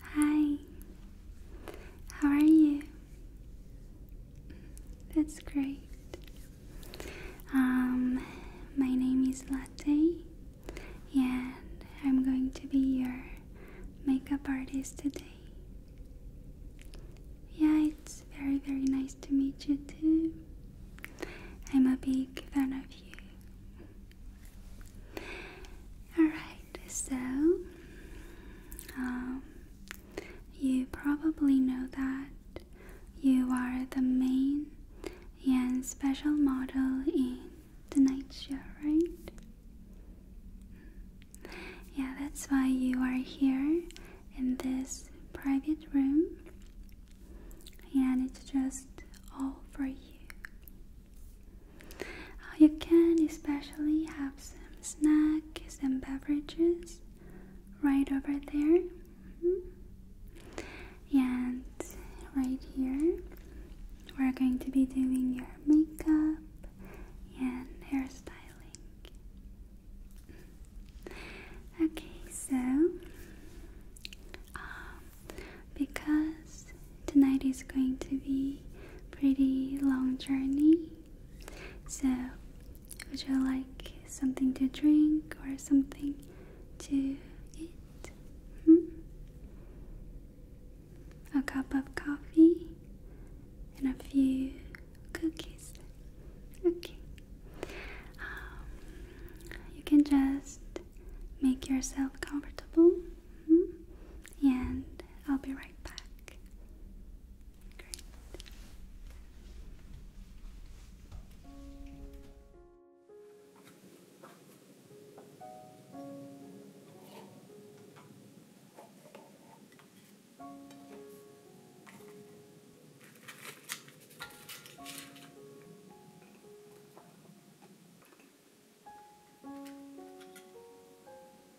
Hi, how are you? That's great. Um, my name is Latte, and I'm going to be your makeup artist today. Yeah, it's very, very nice to meet you too. I'm a big fan of you. Alright, so um, you probably know that you are the main and special model in tonight's show, right? Yeah, that's why you are here in this private room, and it's just all for you. Oh, you can especially have some snacks and beverages right over there. Mm-hmm. And right here, we're going to be doing your makeup and hairstyling. Okay, so um, because tonight is going to be pretty long journey so, would you like something to drink or something to eat? Hmm? A cup of coffee and a few cookies. Okay. Um, you can just make yourself comfortable. Hmm? and I'll be right back. Great.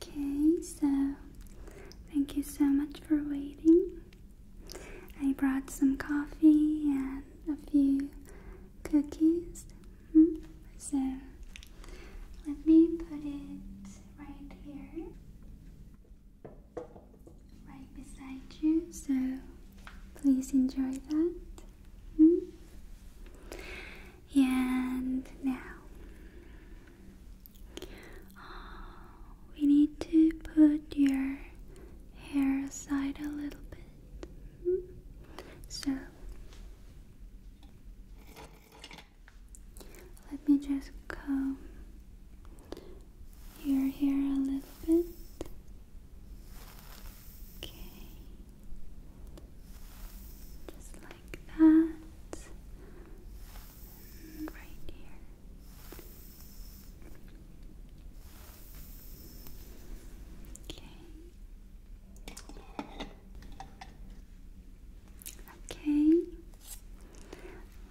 Okay, so thank you so much for waiting. I brought some coffee and a few cookies. Mm-hmm. So let me put it right here, right beside you. So please enjoy that. Mm-hmm. And now uh, we need to put your hair aside a little bit. Hmm? So let me just comb your hair a little bit. Okay. Just like that right here. Okay. Okay.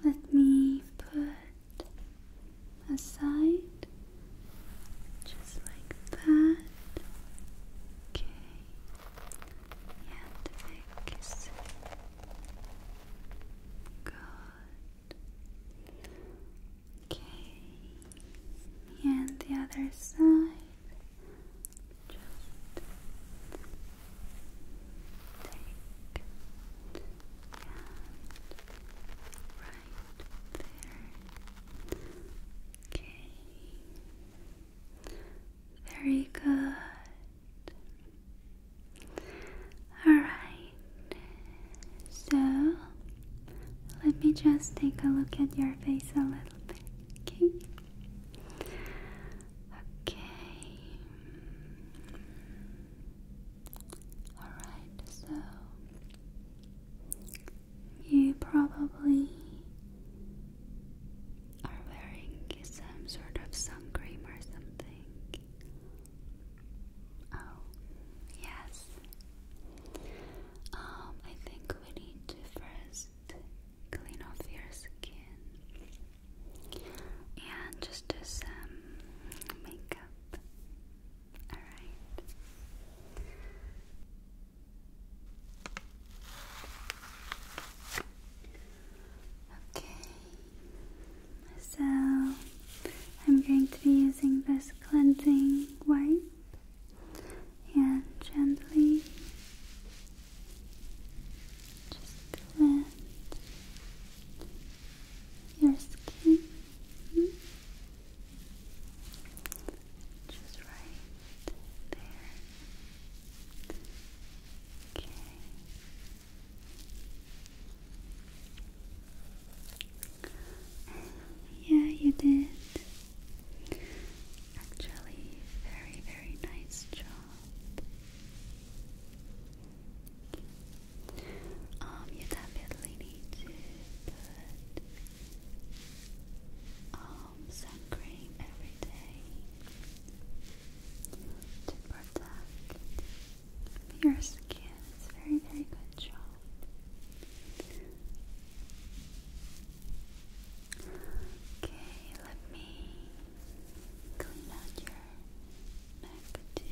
Let me put aside just like that. Okay. Yeah, the Good. Okay. And the other side. Just take and right there. Okay. Very good. Alright, so let me just take a look at your face a little bit, okay? Okay. Alright, so you probably are wearing some sort of sun cream or something. Oh, yes. Um, I think we need to first clean off your skin and just do some makeup. Alright. Okay, so I'm going to be using this cleansing wipe and gently just cleanse your skin. Just right there. Okay. Yeah, you did. Actually, very, very nice job. Um, you definitely need to put um, sun every day to protect your skin. It's a very, very good job. Okay, let me clean out your neck too.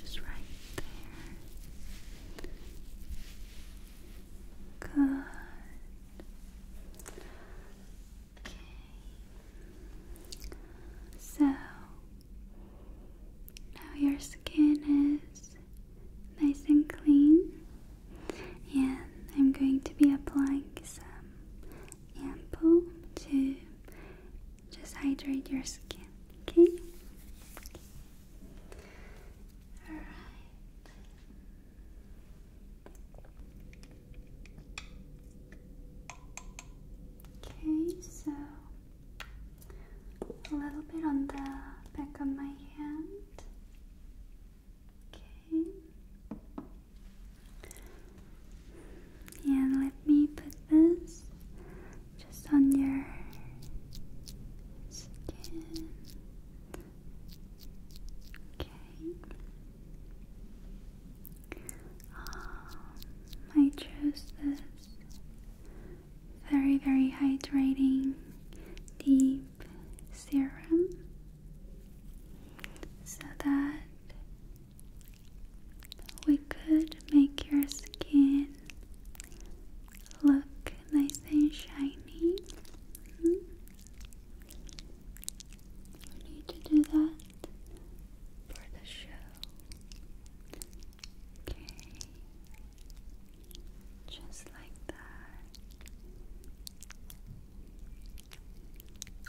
Just right there. Good. Okay. So now your skin is nice and clean, and I'm going to be applying some ampoule to just hydrate your skin. okay. Okay, so a little bit on the back of my hand. Okay. And let me put this just on your skin. Okay. Um, I chose this very, very hydrating deep serum so that we could make your skin look nice and shiny. Mm need to do that for the show. Okay. Just like that.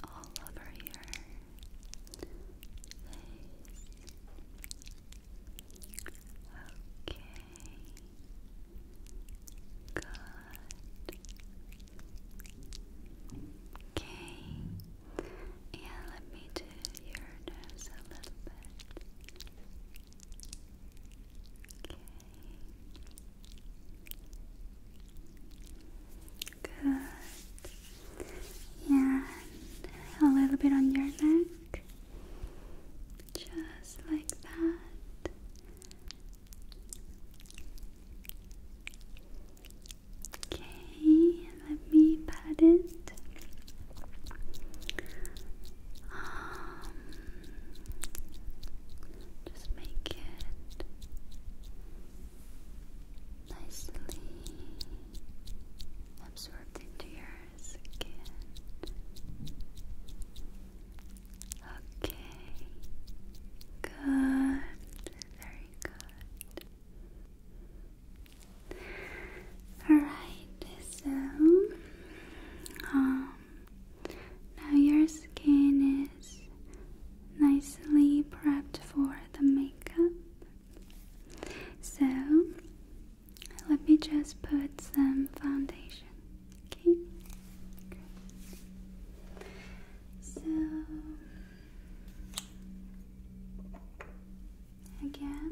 All over your Okay. Good. Okay. Yeah, let me do your nose a little bit. Okay. Good. Yeah, a little bit on your neck. Just like that. Okay, let me pat it. Um, just make it nicely absorbed into your skin. Okay. Good. Very good. Alright, so um, now your skin is nicely prepped for the makeup. So let me just put some foundation. Okay. So again,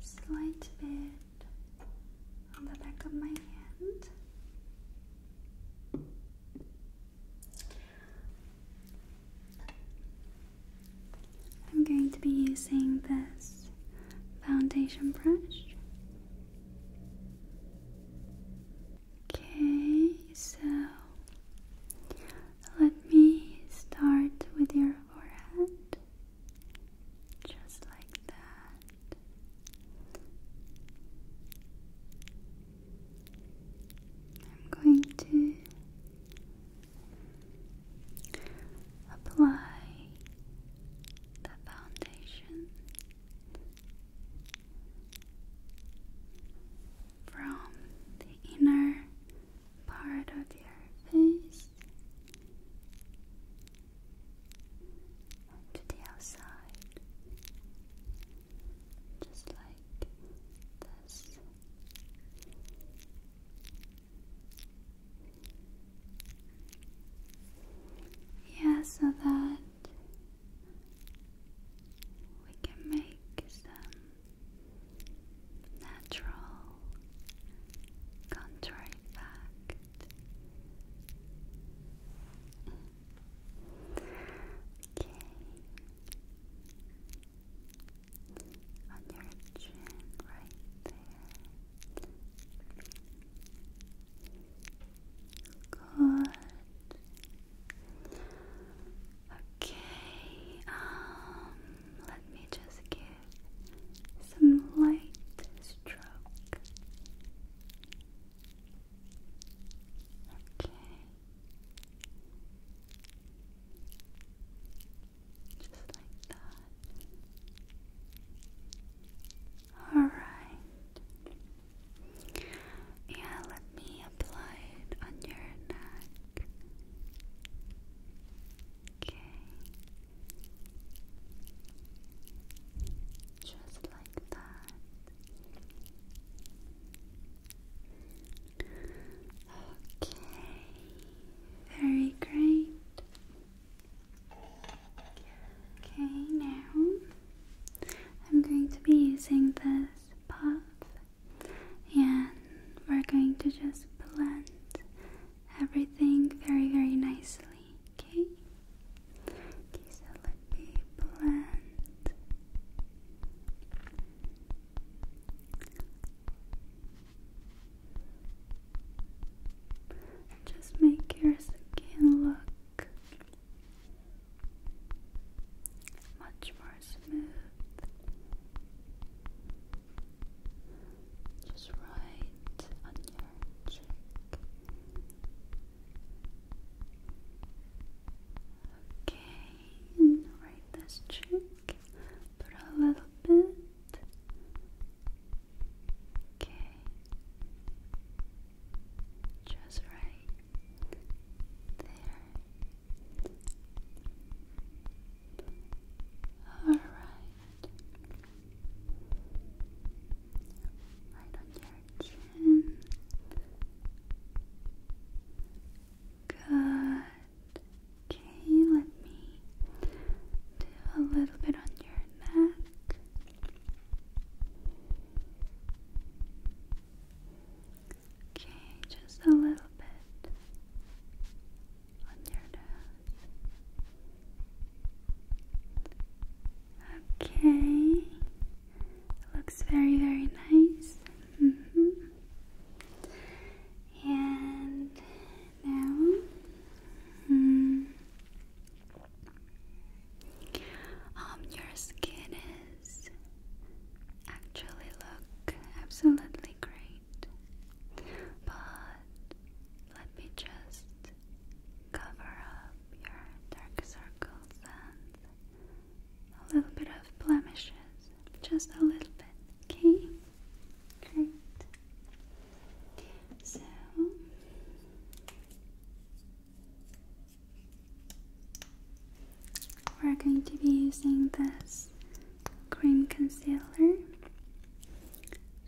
slight bit on the back of my hand. I'm going to be using this foundation brush. Okay, so let me start with your forehead, just like that. I'm going to apply the foundation from the inner part of your face to the outside, just like this. Yeah, so that we can make some natural contrary fact. Okay. On your chin right there. Good. Okay, um, let me just give some light stroke. Okay. Just like that. All right. Yeah, let me apply it on your neck. Okay. Just like that. Okay. Very great. Okay, now I'm going to be using this puff and we're going to just blend everything very, very nicely. Okay? Okay, so let me blend. Just make your skin look much more smooth. Just right on your cheek. Okay, right this cheek, put a little bit Okay. Just right there. All right. Right on your chin. Good. Okay, let me do a little bit on your neck. Okay, just a little bit on your nose. Okay, looks very, very nice. -hmm. And now, mm, um, your skin is actually look absolutely great, but let me just cover up your dark circles and a little bit of blemishes, just a little bit. Okay, great. So we're going to be using this cream concealer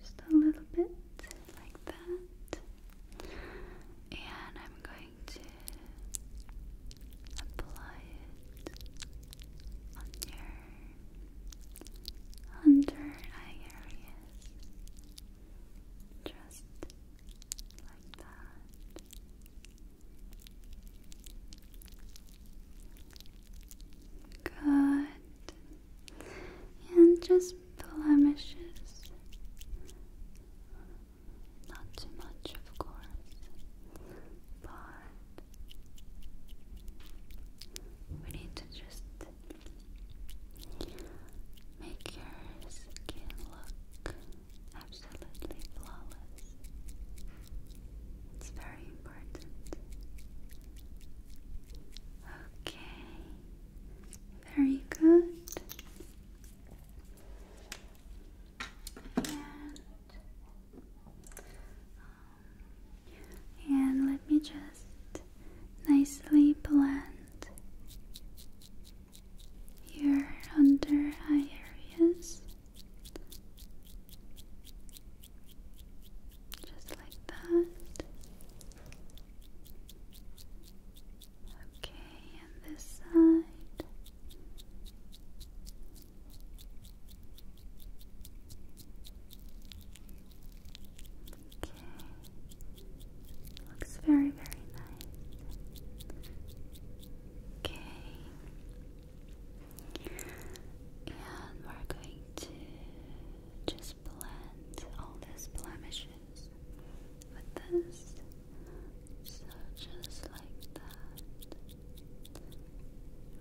just a little bit like that. And I'm going to apply it on your under eye area. Just like that. Good. And just blemishes. Not too much, of course, but we need to just Make your skin look absolutely flawless. It's very important. Okay, very good. And, um, let me just nicely blend your under eye areas just like that. Okay, and this side. Okay. Looks very, very nice. Okay. And we're going to just blend all these blemishes with this. So just like that.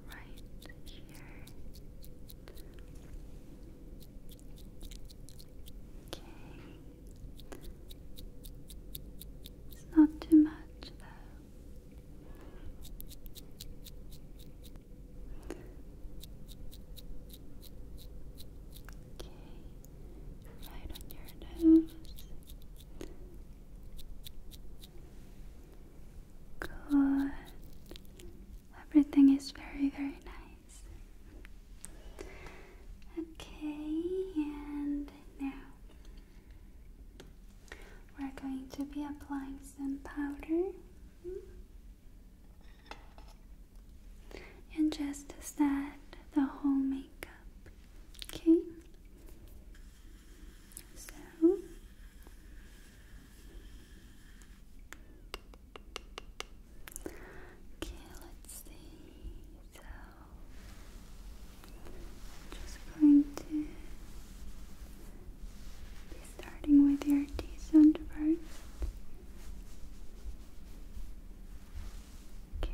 Right here. Okay. It's not too much though. Okay. Right on your nose. Good. Everything is very, very nice. Okay, and now we're going to be applying some powder and just set the whole makeup. Okay, so Okay, let's see. So, just going to be starting with your T first. Okay.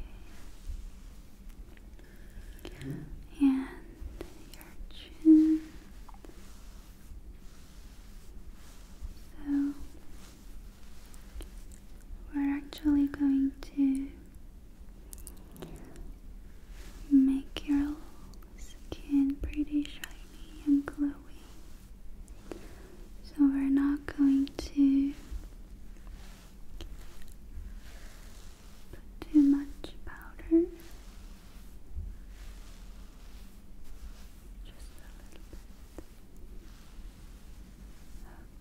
And your chin. So we're actually going to make your skin pretty shiny and glowy. So we're not going to put too much powder. Just a little bit.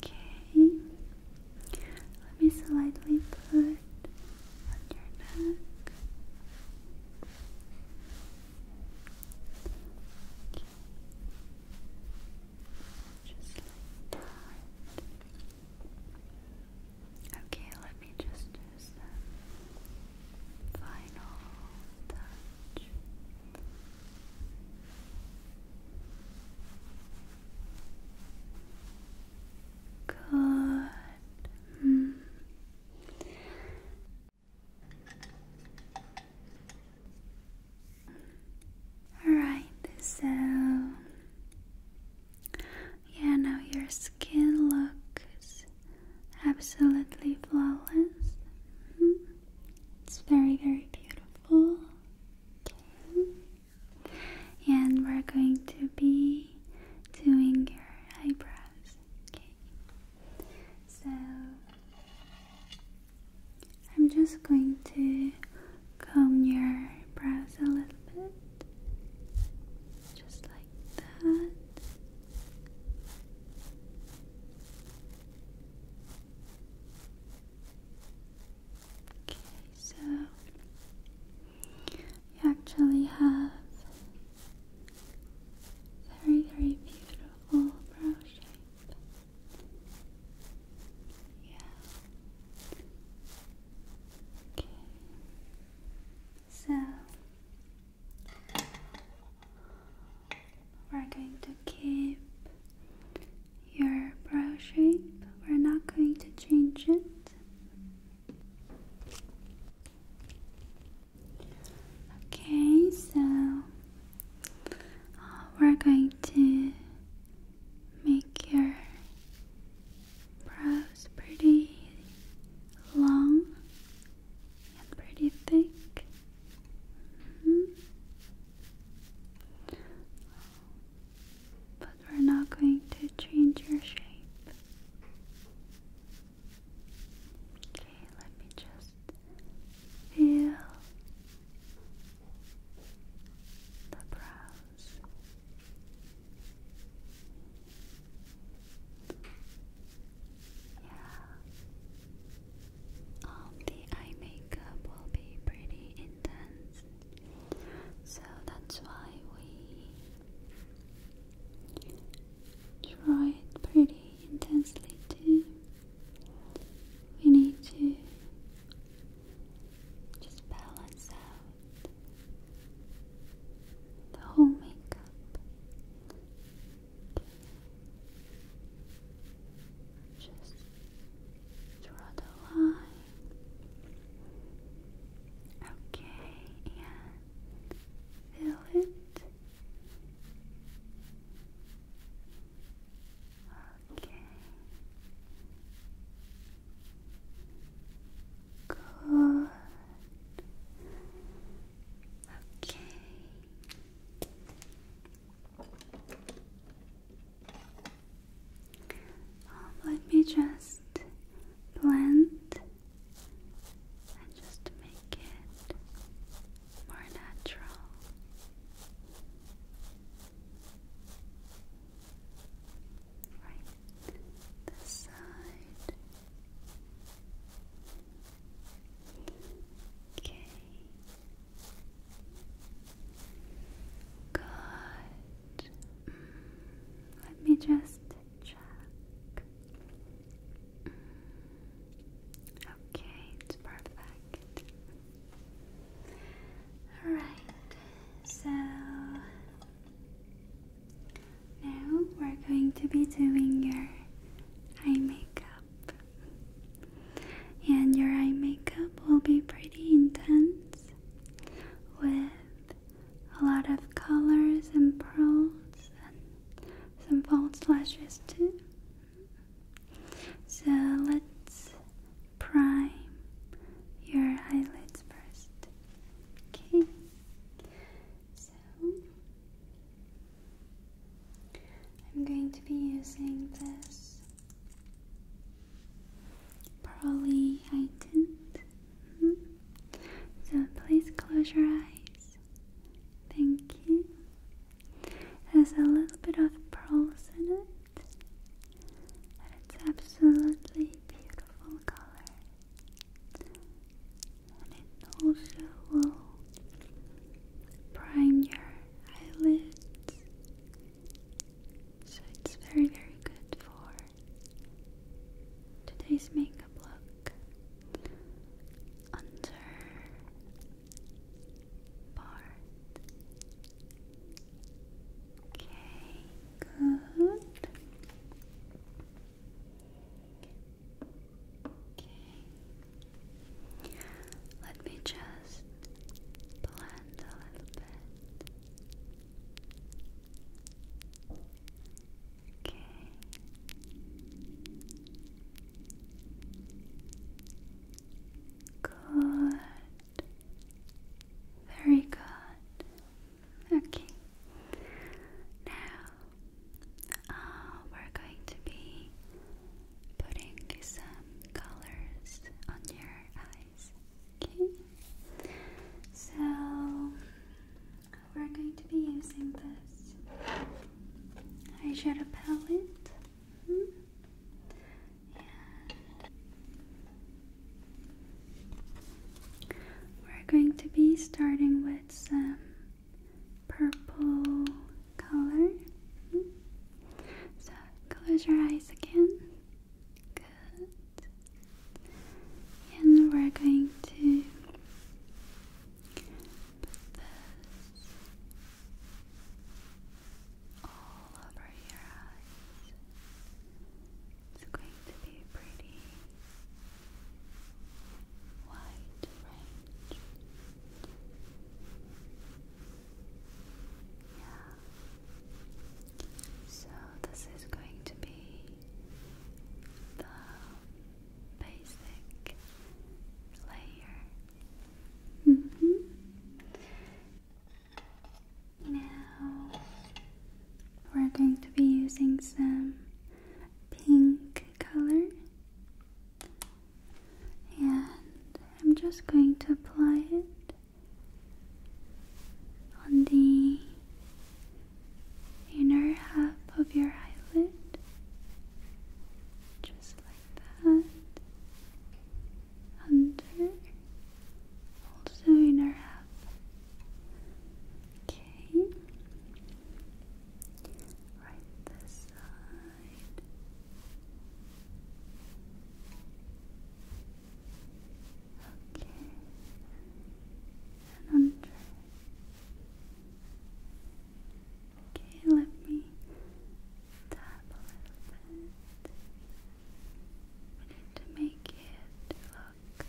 Okay. Let me slightly put on your neck. Just like that. Okay, let me just do final touch. Good. Mm. All right, so yeah, now your skin looks absolutely flawless. Hmm. It's very, very beautiful. Okay. And we're going to be doing your eyebrows. Okay. So I'm just going to comb your brows a little bit. Just like that. Okay, so you actually have very, very beautiful brow shape. Yeah. Okay. So we're going to keep your brow shape, we're not going to change it. Okay, so uh, we're going to make your brows pretty long and pretty thick. Hmm. But we're not going to change your shape. Okay, let me just feel the brows. Yeah. Um, the eye makeup will be pretty intense, so that's why we draw it pretty intensely We need to just balance out the whole makeup. Just draw the line. Okay, and fill it. Okay. Good. Okay. Um, let me just blend and just make it more natural. Right, this side. Okay. Good. Mm, let me just check. Mm, okay, it's perfect. Alright, so now we're going to be doing your eye makeup. And your eye makeup will be pretty intense with a lot of colors and pearls and some false lashes too. So let's prime your eyelids first. Okay. So I'm going to be using this pearly tint. Mm-hmm. So please close your eyes. Thank you. There's a little bit of pearls in it, and it's absolutely beautiful color. And it also will prime your eyelids. So it's very, very good for today's makeup look under part. Okay, good. Okay. Let me just blend a little bit. Okay. Good. Very good. Okay. Now uh, we're going to be putting some colors on your eyes. Okay? So, we're going to be using this eyeshadow palette. Hmm. And we're going to be starting with some purple color. So close your eyes again. Good. And we're going to put this all over your eyes. It's going to be pretty wide range. So this is going to be the basic layer. Mm-hmm. Now we're going to be using some pink color and I'm just going to apply it on the inner half of your eyelid, just like that. Under, also inner half. Okay, right this side. Okay, under. Okay, let me tap a little bit. We need to make it look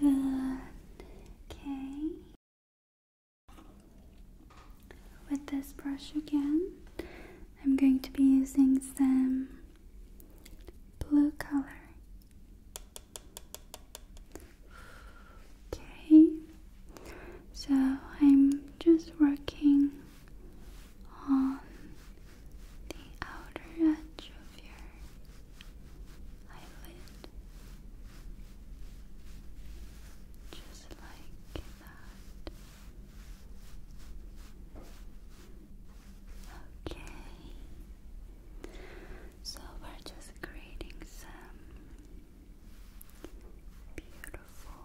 natural. Good. Okay. With this brush again, I'm going to be using some blue color. Okay, so I'm just working on the outer edge of your eyelid, just like that. Okay, so we're just creating some beautiful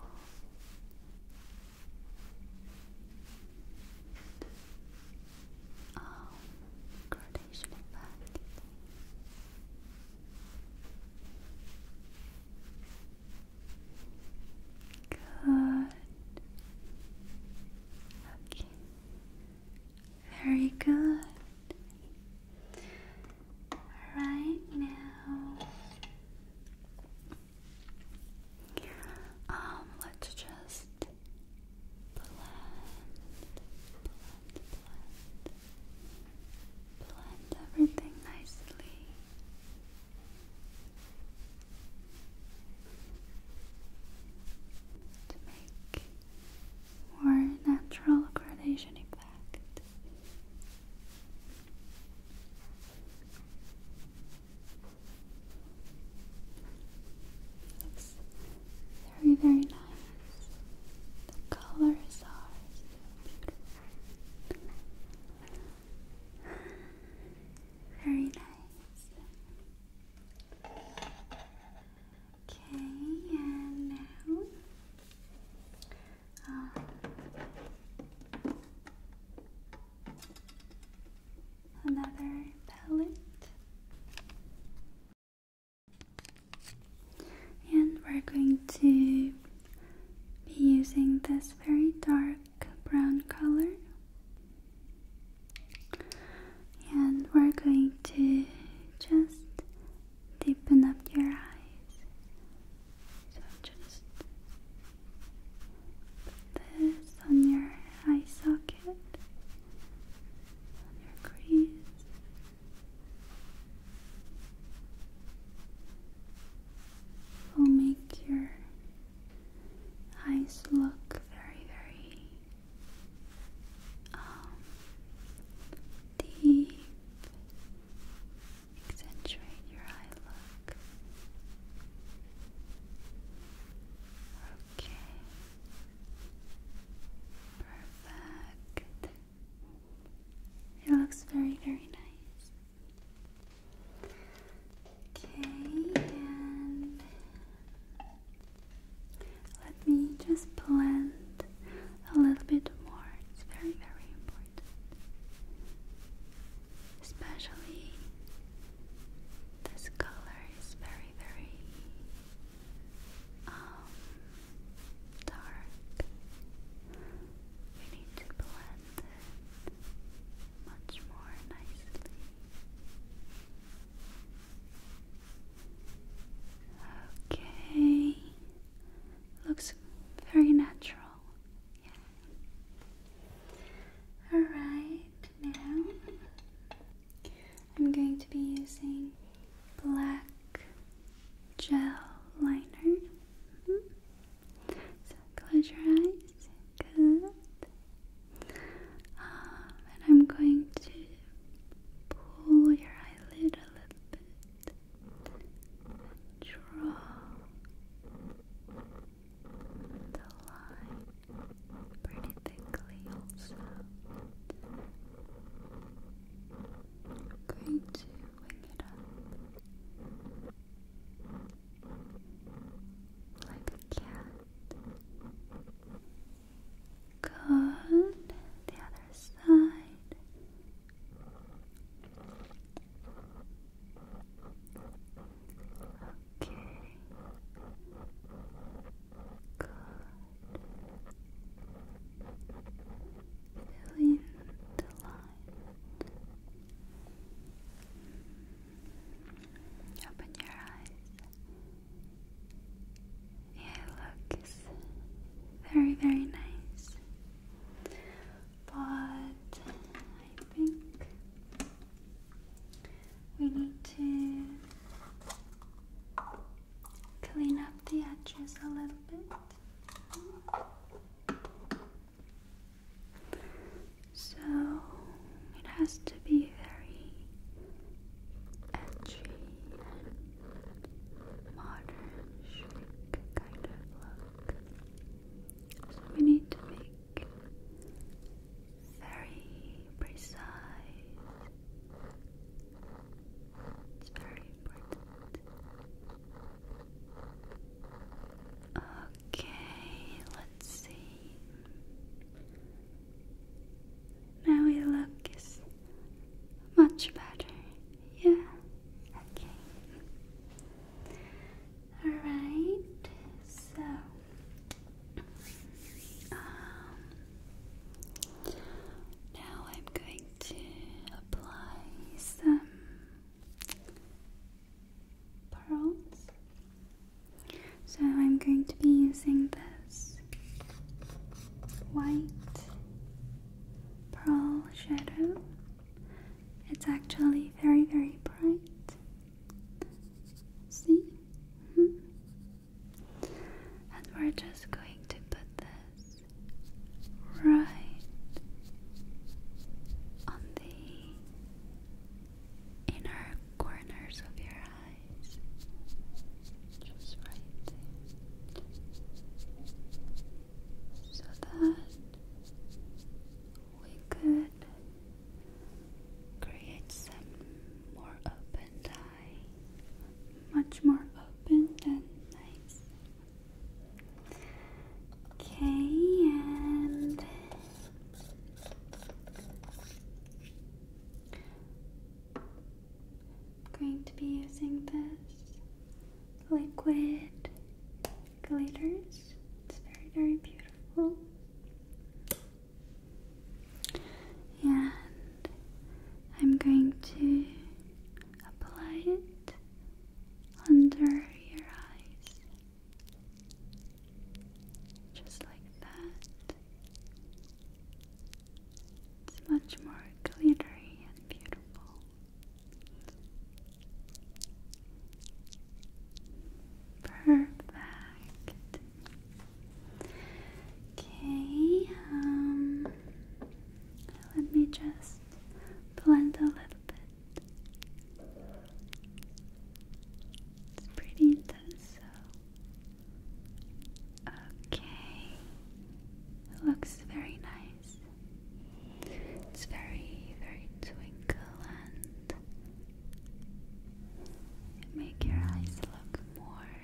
um, gradation effect. Good. Okay. Very good. Right now, um, let's just blend, blend, blend. Blend everything nicely. To make more natural gradation effect. Very, very nice. The colors are Very nice. Okay, and now um, another palette. And we're going to be using this very dark brown color. And we're going to just deepen up your eyes. So just put this on your eye socket, on your crease will make your eyes look very, very um, deep. Accentuate your eye look. Okay. Perfect. It looks very, very nice. Okay, let me just blend a little bit more. It's very, very important. Especially this color is very, very um, dark. We need to blend much more nicely. Okay, looks very natural. Yeah. All right, now I'm going to be using black gel liner. Mm-hmm. So close your eyes. Good. Um, and I'm going to pull your eyelid a little bit. And draw the line pretty thickly also going to wing it up like a cat. Good. The other side. Okay. Good. Feeling the light. Open your eyes. Yeah, look, very, very nice. But I think we need to clean up the edges a little bit. So it has to be very edgy modern kind of look. So we need to make very precise. It's very Okay, let's see. Now your looks much better. Yeah. Okay. Alright, so um, now I'm going to apply some pearls. So I'm going to be using this white pearl shadow. It's actually very, very bright. See? Mm-hmm. And we're just going to put this right on the inner corners of your eyes. Just right So that we could create some more open time much more open and nice. Okay, I'm going to be using this liquid glitters. It's very, very beautiful. And I'm going to apply it under your eyes, just like that. It's much more glittery and beautiful. Perfect. Okay, um, let me just blend a little bit. It's pretty intense, so. Okay, looks very nice. It's very, very twinkle and make your eyes look more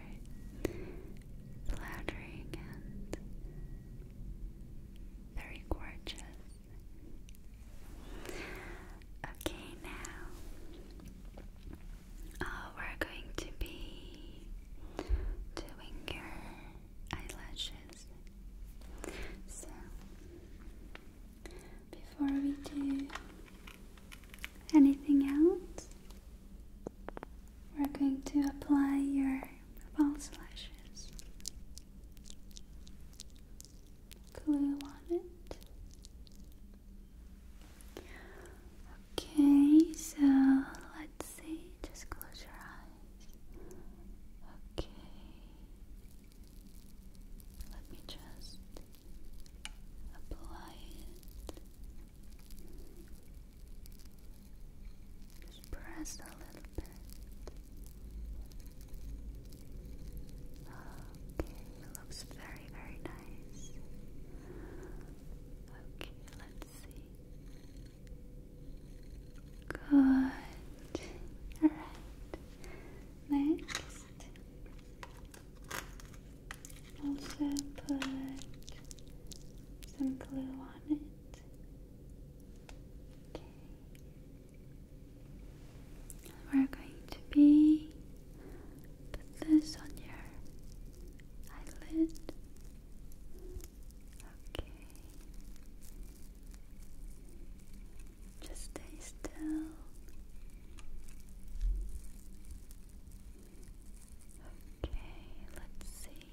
flattering and very gorgeous. Okay, now uh, we're going to be doing your eyelashes. So, before we do anything else, we're going to apply your false lashes. Glue on it. Okay, so let's see. Just close your eyes. Okay. Let me just apply it just press a little bit. Okay, looks very, very nice. Okay, let's see. Good. Alright. Next, also put some glue on it. We're going to be put this on your eyelid. Okay. Just stay still. Okay, let's see.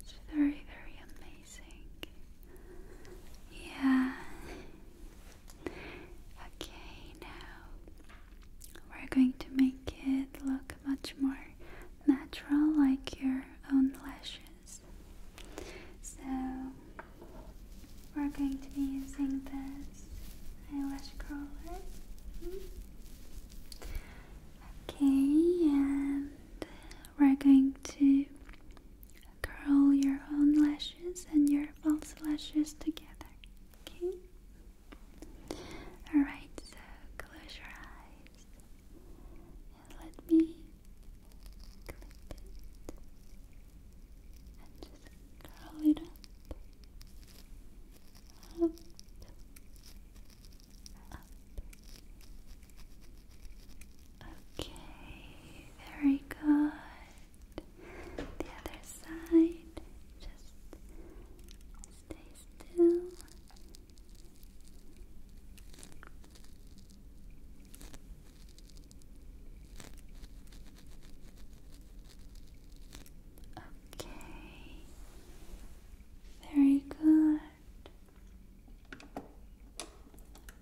It's very, very amazing. Yeah. Okay, now we're going to make it look much more natural, like your own lashes. So, we're going to be using this eyelash curler. Okay, and we're going to curl your own lashes and your false lashes together. Okay? Alright, so close your eyes and let me clip it curl it up, up, up. Okay, very good. The other side, just stay still. Okay. Very good.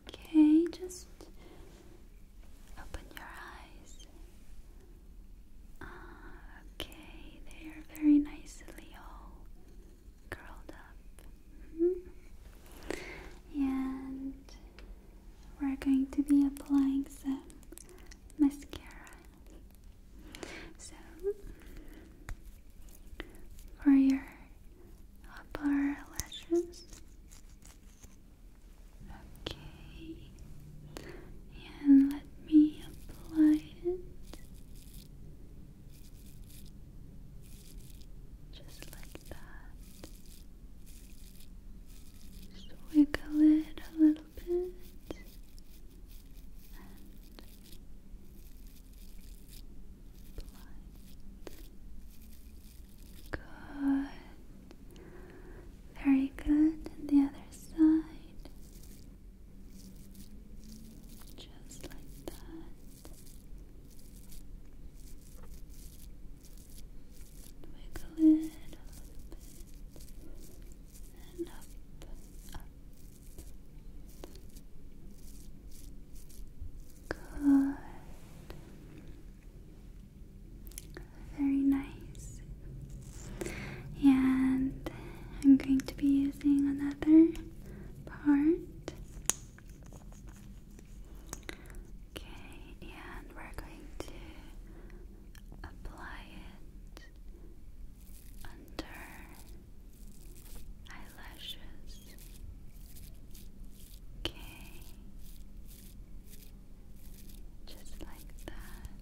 Okay, just open your eyes. Ah, okay, they are very nicely all curled up. Mm-hmm. And we're going to be applying some mascara so, for your upper lashes, okay, and let me apply it just like that. Just wiggle it a little little bit. And Good. Very good. the other side. Just like that. Wiggle it a bit and up, up. Good. Very nice. And I'm going to be using another part. Okay, and we're going to apply it under eyelashes. Okay. Just like that.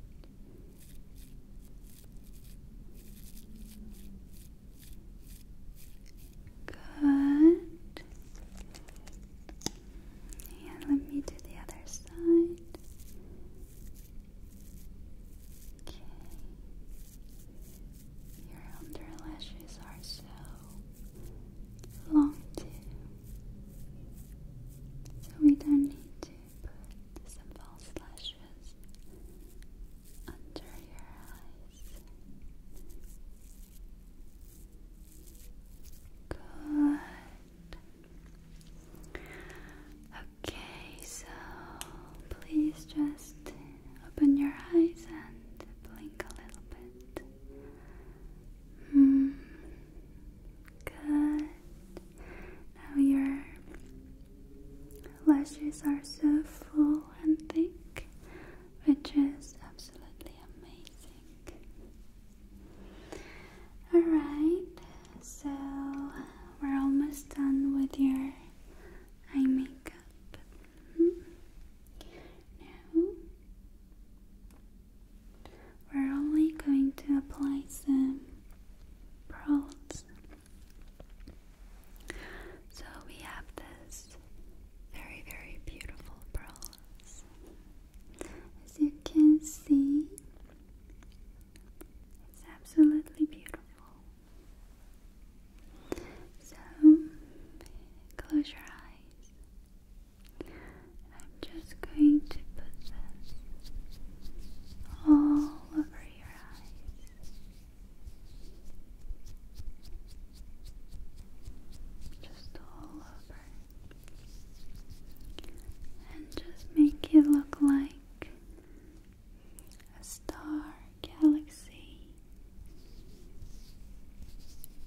Good. And let me do the other side. Okay. Your underlashes are so long too. So we don't need to put some false lashes under your eyes. Good. Okay, so please just open your eyes and blink a little bit. Hmm, good. Now your lashes are so full and thick, which is absolutely amazing. Alright, so we're almost done with your eye makeup. Mm we're only going to apply some pearls. So we have this very, very beautiful pearls. As you can see, it's absolutely beautiful. So, close your eyes. I'm just going to put this all over your eyes. Just all over and just make it look like a star galaxy.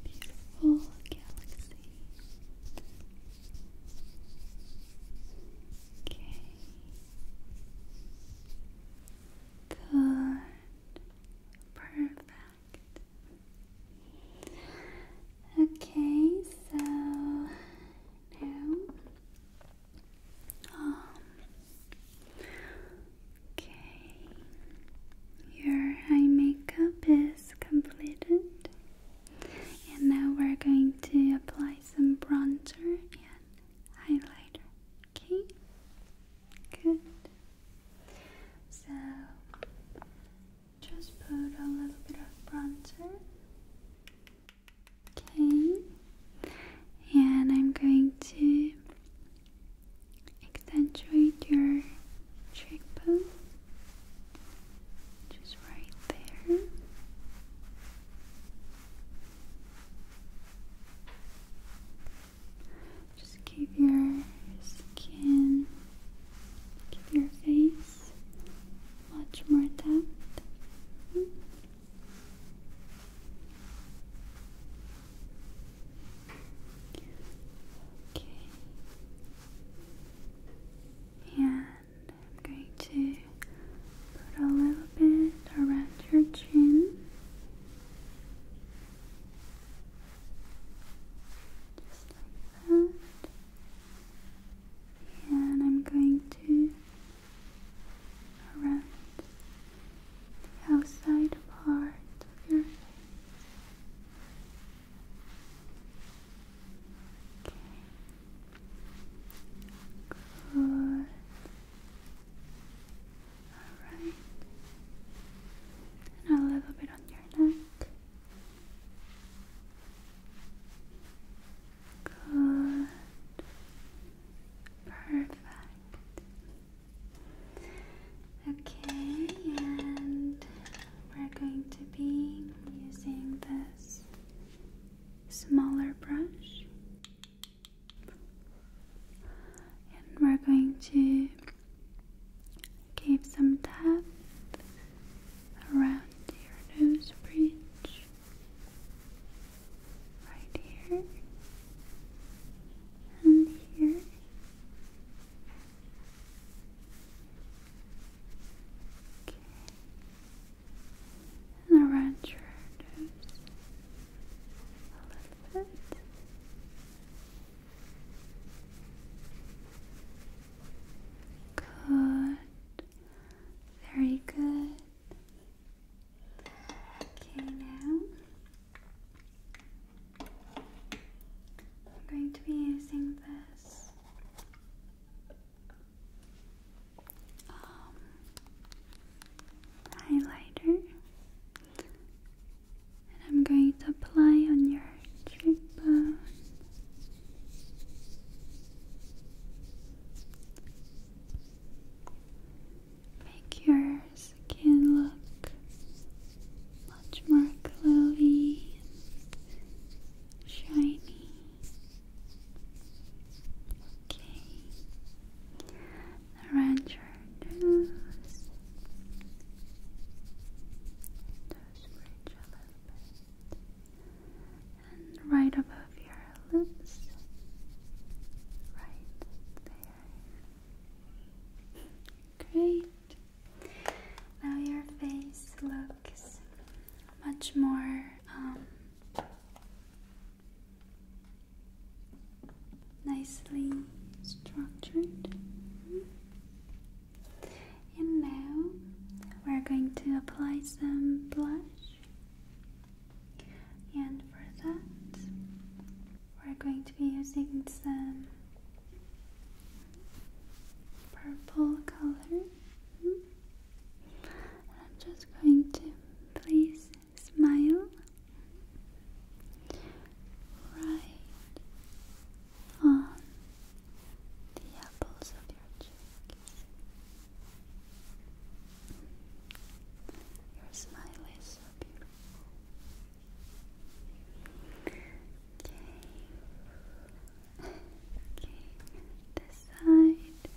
Beautiful galaxy. Okay. Good. Perfect. Okay, so now, um, okay, your eye makeup is completed, and now we're going to apply some bronzer and highlighter. Okay, good. So just put a little bit of bronzer Okay, and I'm going to accentuate your cheekbone, just right there. Just give your skin, give your face much more depth. Okay. And I'm going to put a little bit around your chin. Just like that and I'm going to around the outside part of your face. Okay. Good. All right. And a little bit on your neck. Good. Perfect. Okay, and we're going to be using this smaller brush. And we're going to give some tap around your nose bridge right here and here. Okay. And around your nose a little bit. Good. Very good. Okay, now I'm going to be using this um, highlighter, and I'm going to apply on your cheekbone. Make your skin look much more glowy shiny. Okay. Around your nose. Those bridge a little bit and right above your lips. Right there. Great. Now your face looks much more um, nicely structured. And now we're going to apply some blush. And for that, we're going to be using some purple color. And I'm just going to please smile right on the apples of your cheeks. Your smile is so beautiful. Okay. Okay. This side.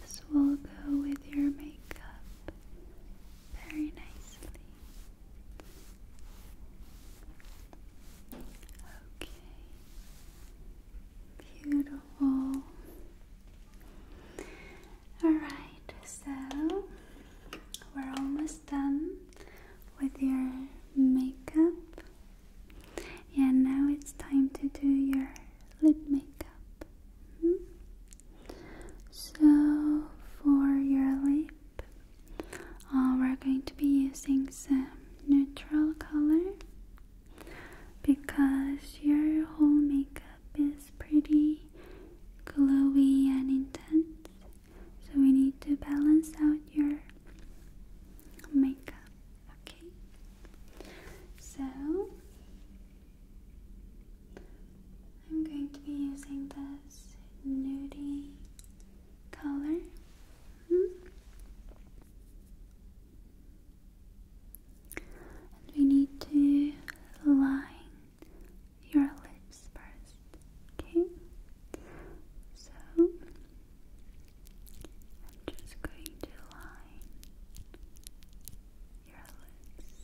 This will go with your makeup very nicely. Okay. Beautiful. Alright, so we're almost done with your makeup, and now it's time to do your lip makeup. Hmm? So, for your lip, uh, we're going to be using some neutral color because your whole makeup is pretty glowy and intense, so we need to balance out your makeup. Okay, so I'm going to be using this nudie color we need to line your lips first, okay? So I'm just going to line your lips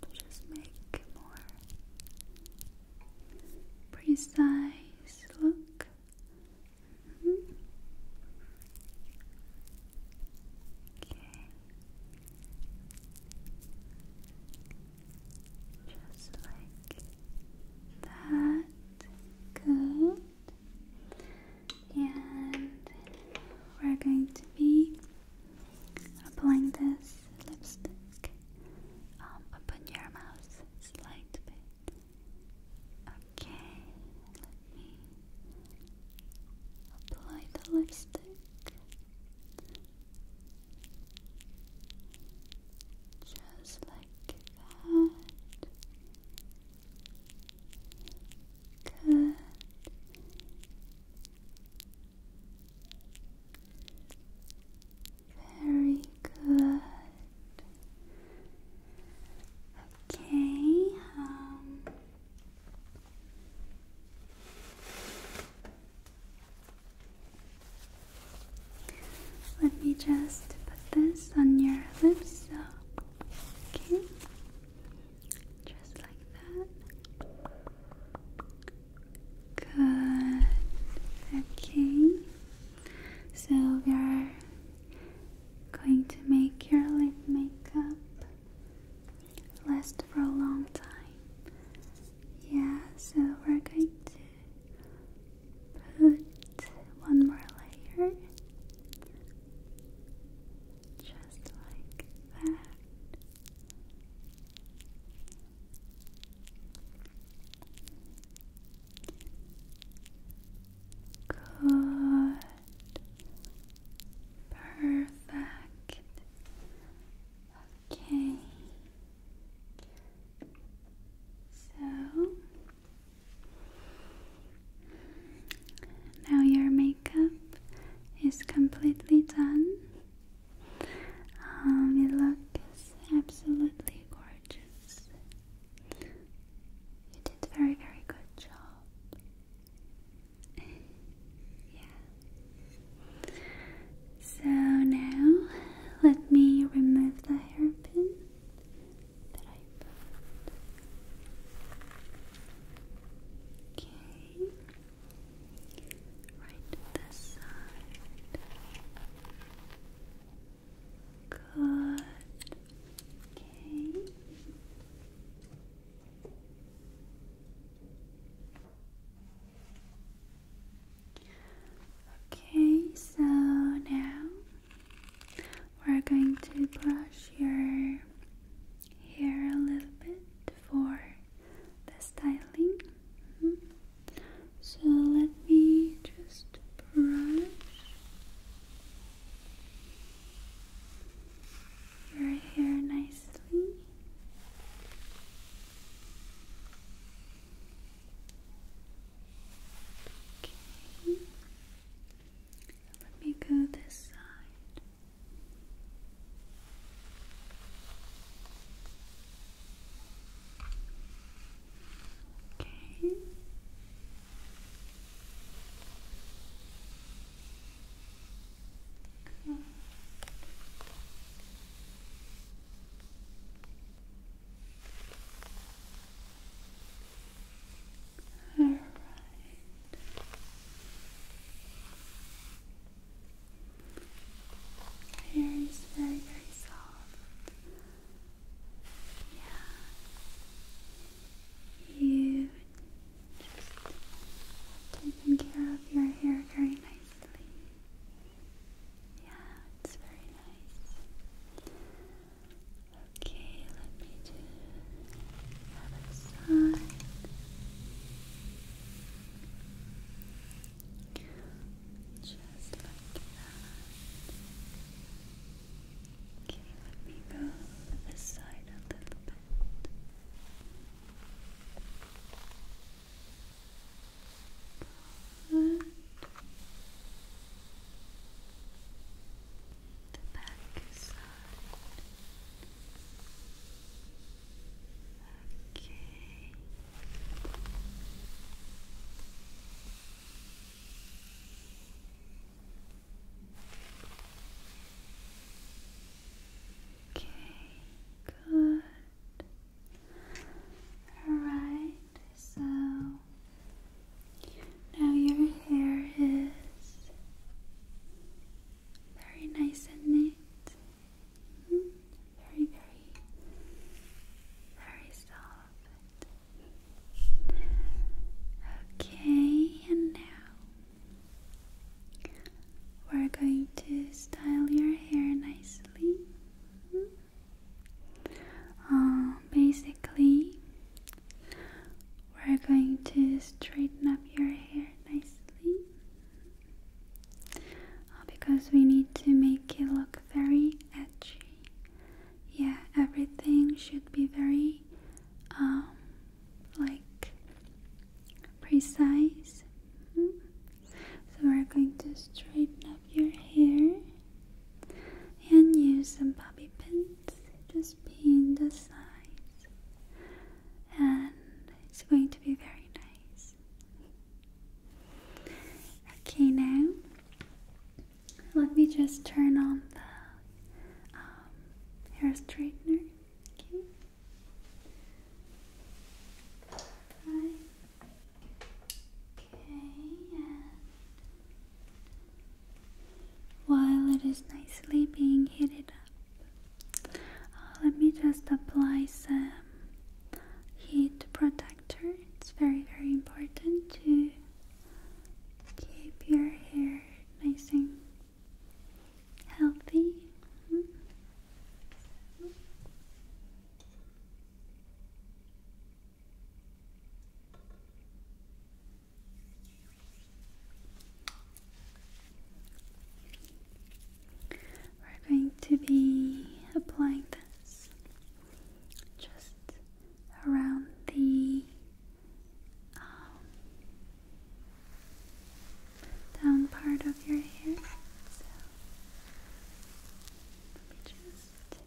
to just make more precise look. Mm-hmm. Okay. Just like that. Good. And we're going to be applying this lipstick um, upon your mouth slight bit. Okay, let me apply the lipstick. Just like that. Good. Very good. Okay. Um, let me just put this on your lips. okay. Just like that. Good. Okay. So we are going to make your lip makeup last for a long time. Yeah, so we're going to put one more layer just like that. Good. Perfect. Okay. So now your makeup is completely done. Um, it looks absolutely gorgeous. You did a very, very good job. yeah. So now let me remove the hairpin that I put. Okay. Right this side. Good. Okay. Okay, so now we're going to brush your hair a little bit for the styling. Mm-hmm. So let me just brush your hair nicely. Okay. Let me go this side. Okay. All right. Hair very, very soft. Yeah. You just taking care of your hair very nicely. Yeah, it's very nice. Okay, let me do the other side. Just like Okay, let me go this side a little bit. The back side. Okay. Okay, good. Alright, so now your hair is very nice and neat. Mm-hmm very, very, very soft. Okay, and now we're going to style your hair nicely. Um, basically, we're going to straighten up your hair nicely uh, because we need to make it look very edgy yeah, everything should be very um, like precise. Mm-hmm. So we're going to straighten up your hair and use some bobby pins. Just pin the sides, and it's going to be very nice. Okay, now let me just turn on the hair um, straightener. Okay. Okay, while it is nicely being heated up, uh, let me just apply some heat protector it's very, very important to keep your hair nice and healthy. We're going to be applying this just around the um, down part of your hair. So let me just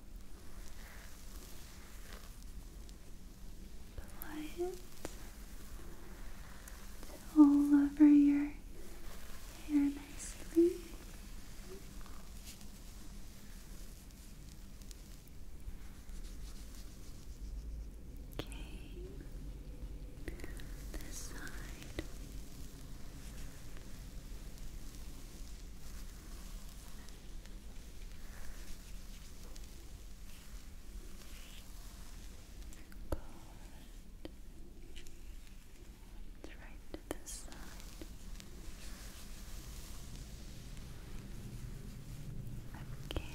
apply it all over your hair nicely. Okay. This side. Good. It's right to this side. Okay. The back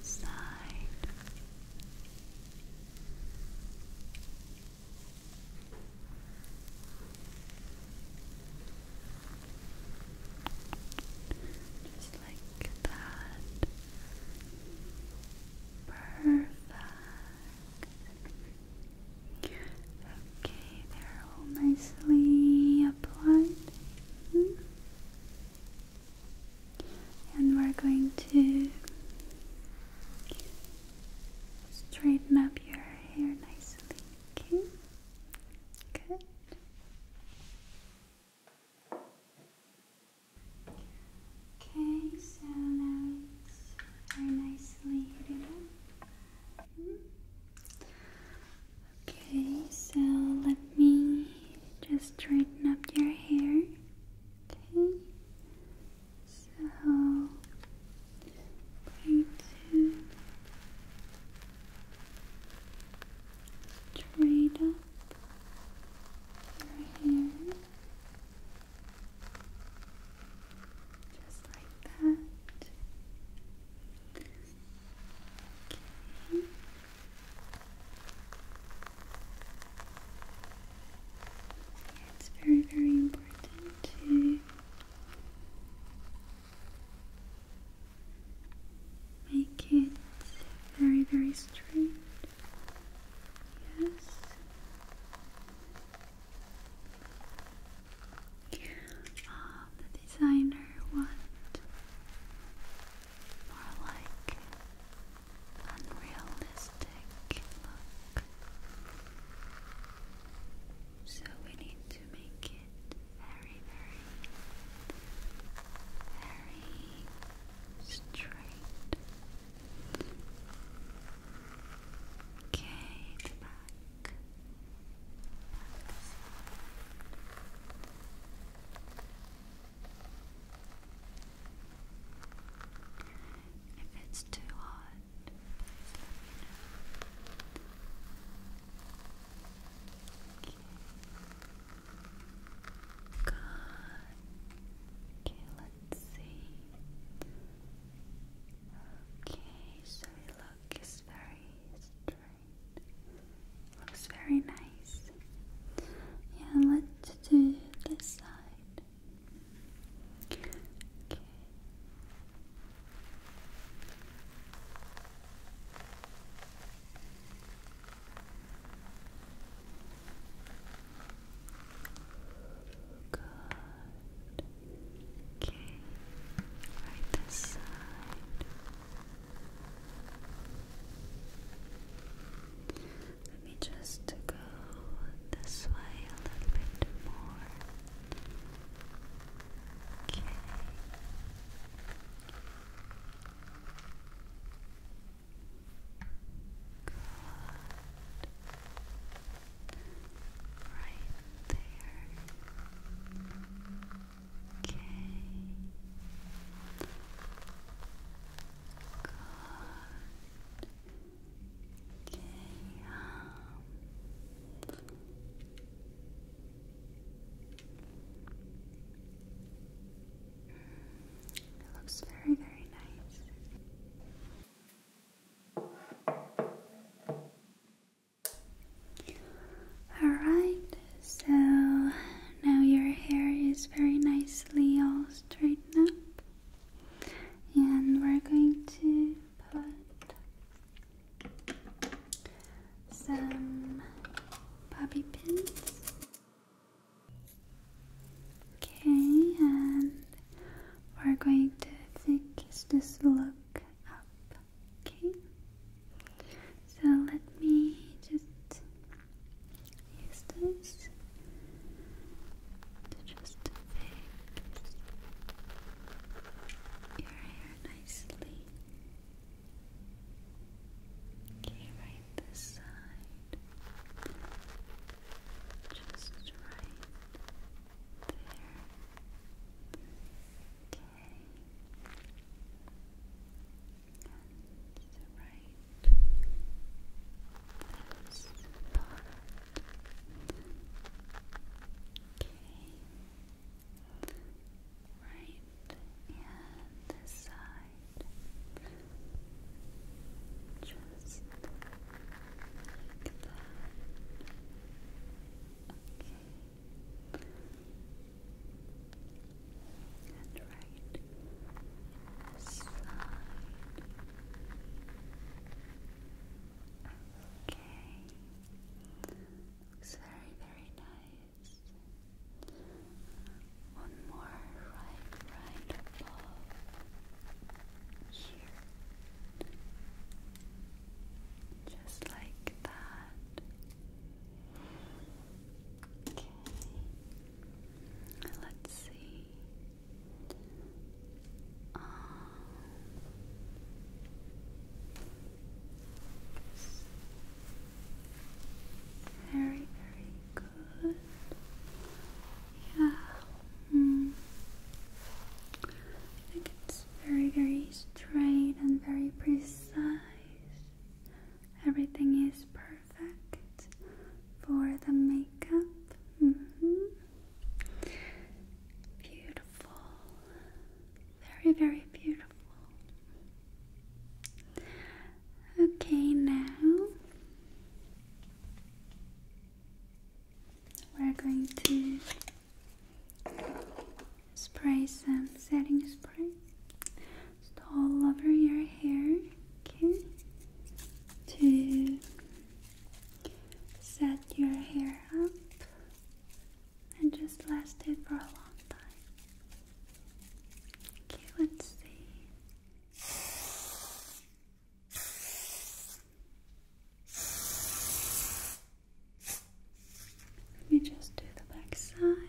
side. Just like that. Perfect. Okay, they're all nicely applied. And we're going to straighten up your hair nicely. Okay? Good. Okay, so now it's very nicely heated up. Okay, so let me just straighten up your hair. Okay, so I'm going to Trade up your hair just like that. Okay. It's very, very important to Make it very, very straight. Yes. Um, the designer want more like unrealistic look. So we need to make it very, very, very straight. Okay, back. if it's too hot, Good. Okay, let's see. Okay, so your look very straight. Looks very nice. Yeah, let's do this side. Okay. Good. Okay. Right this side. Let me just go this way a little bit more. Okay. Right there. Okay. Good. Okay. Um. It looks very, very nice. Alright, so now your hair is very nicely all straightened up, and we're going to put some bobby pins. Okay, and we're going to fix this look up. Okay, so let me just use this to just fix your hair nicely. Okay, right this side. Just right there. Okay. And right this part. Okay. Right, and this side. Just like that. Okay. And right side. Okay. Looks very, very nice. One more right, right above here. Just like that. Okay. Let's see. Um, very, very good. Yeah. Hmm. I think it's very, very straight and very precise. Everything is perfect for the makeup. Mm-hmm. Beautiful. Very, very beautiful. Okay, now we're going to spray some setting spray just all over your hair, okay, to set your hair up and just lasted for a long time. Okay, let's see. Let me just do the back side.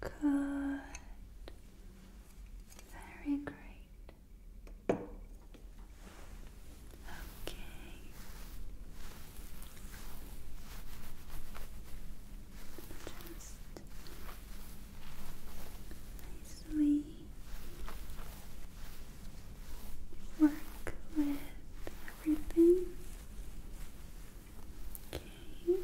Good. Very great. Okay. Just nicely work with everything. Okay.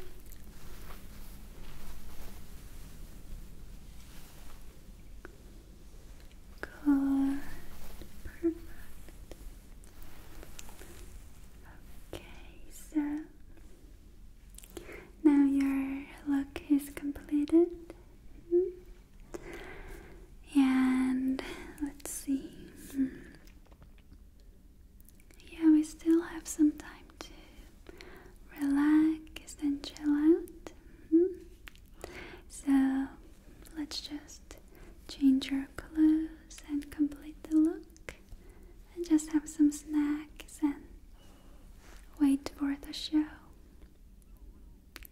Good. Perfect. Okay, so now your look is completed. And let's see. Hmm. Yeah, we still have some time to relax and chill out. Mm-hmm. So let's just change your clothes and complete the look, and just have some snacks and wait for the show.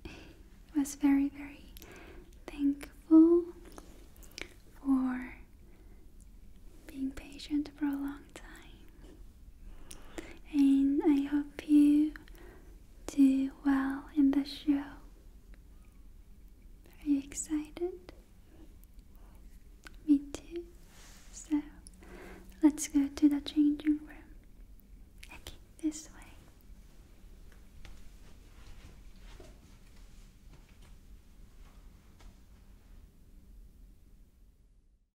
I was very, very thankful for being patient for a long time and I hope you do well in the show. Are you excited? Me too. So let's go to the changing room. Okay, this way.